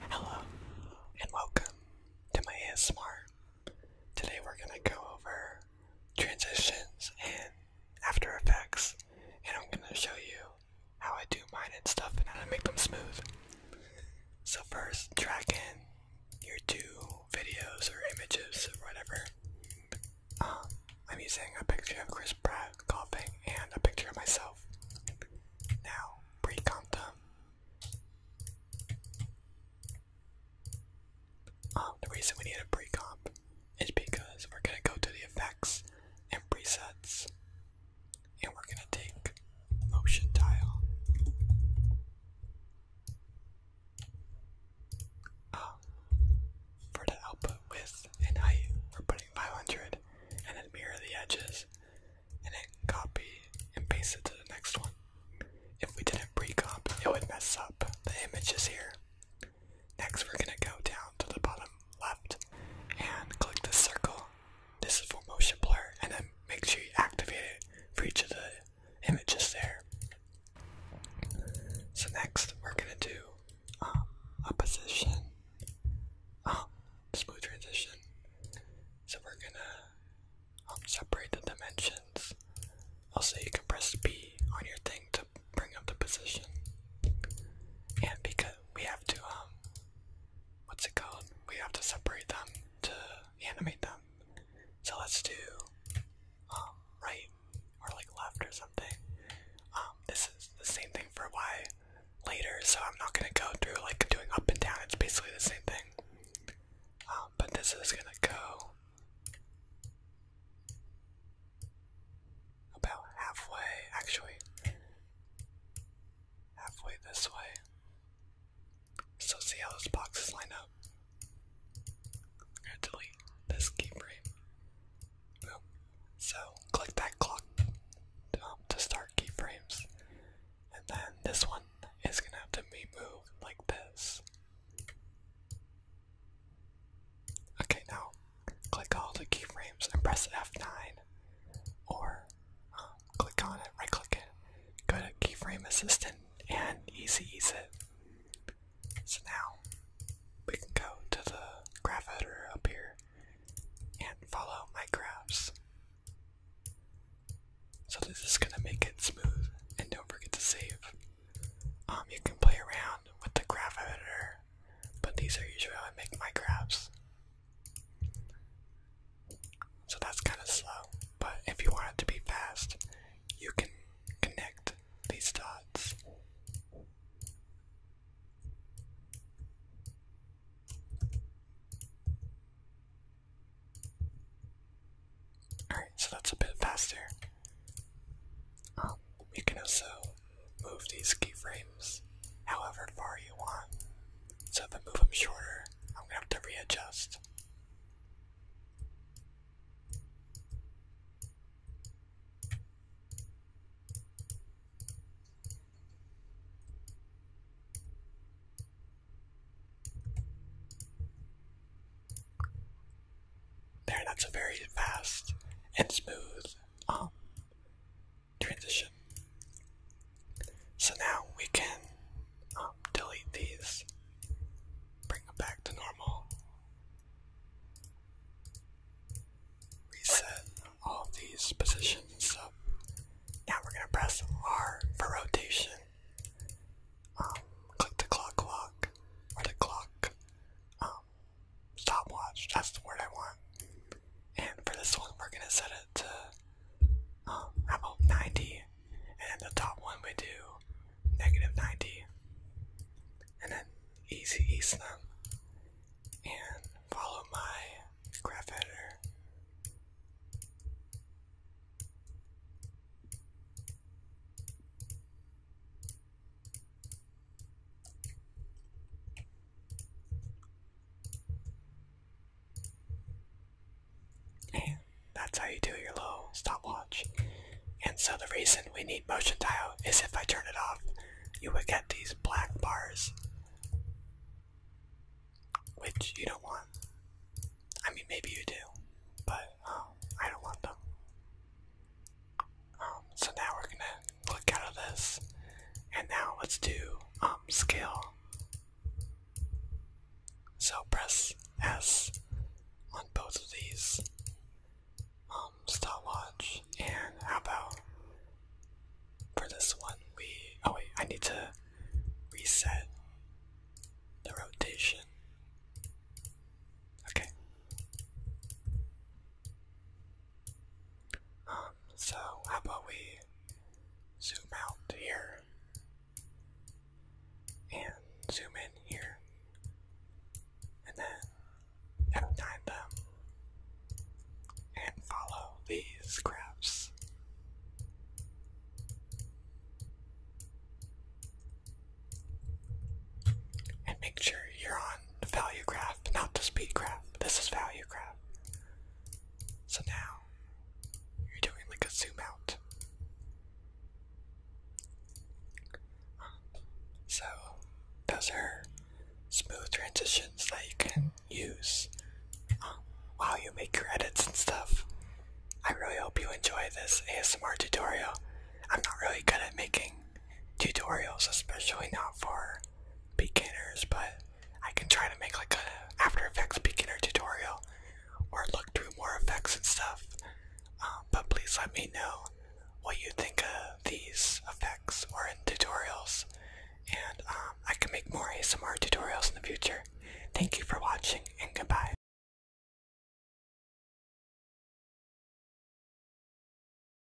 Hello and welcome to my ASMR. Today we're going to go over transitions and After Effects and I'm going to show you how I do mine and stuff and how to make them smooth. So first, track in your two videos or images or whatever. Um, I'm using a picture of Chris Pratt coughing and a picture of myself. Now, Precanta. Um, the reason we need a pre-comp is because we're gonna go to the effects and presets, and we're gonna take motion tile. Um, for the output width and height, we're putting 500 and then mirror the edges and then copy and paste it to the next one. If we didn't pre-cop, it would mess up the images here. Next, we're gonna go down to the bottom left and click the circle. This is for motion blur, and then make sure you activate it for each of the images there. So next, we're gonna do um, opposition. Um, smooth transition. So we're gonna um, separate the dimensions. Also, you can press P on your thing to bring up the position. And because we have to, what's it called? We have to separate them to animate them. So let's do right, or like left or something. Um, this is the same thing for Y later, so I'm not gonna go through like doing up and down. It's basically the same thing. Um, but this is gonna go about halfway, actually. Halfway this way. So see how those boxes line up. I'm to delete this keyframe. So click that clock um, to start keyframes, and then this one is gonna have to be moved like this. Okay, now click all the keyframes and press F9, or um, click on it, right click it, go to keyframe assistant, and easy ease it. So now we can go to the graph editor up here and follow my graphs. So this is gonna make it smooth and don't forget to save. Um, you can play around with the graph editor, but these are usually how I make my graphs. So that's kind of slow, but if you want it to be fast, you can connect these dots. Alright, so that's a bit faster. Um, you can also move these keyframes however far you want. So if I move them shorter, I'm gonna have to readjust. There, that's a very fast and smooth um, transition. So now we can um, delete these bring them back to normal. Reset all these positions and Now we're gonna press R for rotation. Um, click the clock lock or the clock um, stopwatch. That's the word I want. And for this one, we're gonna set it to um, about 90 and the top one we do negative 90, and then easy ease them, and follow my graph editor. And that's how you do your low stopwatch. And so the reason we need motion dial is if I turn it off, you would get these black bars, which you don't want. I mean, maybe you do, but um, I don't want them. Um, so now we're gonna click out of this, and now let's do um, scale so press S on both of these. Um, stopwatch, and how about for this one we, oh wait, I need to reset the rotation. Okay. Um, so how about we zoom out here and zoom in here and then outline them and follow these graphs. And make sure you're on the value graph, not the speed graph. This is value graph. So now you're doing like a zoom out. So those are smooth transitions that you can use um, while you make your edits and stuff. I really hope you enjoy this ASMR tutorial. I'm not really good at making tutorials, especially not for beginners, but I can try to make like a After Effects beginner tutorial or look through more effects and stuff. Um, but please let me know what you think of these effects or in tutorials, and um, I can make more ASMR tutorials in the future. Thank you for watching, and goodbye.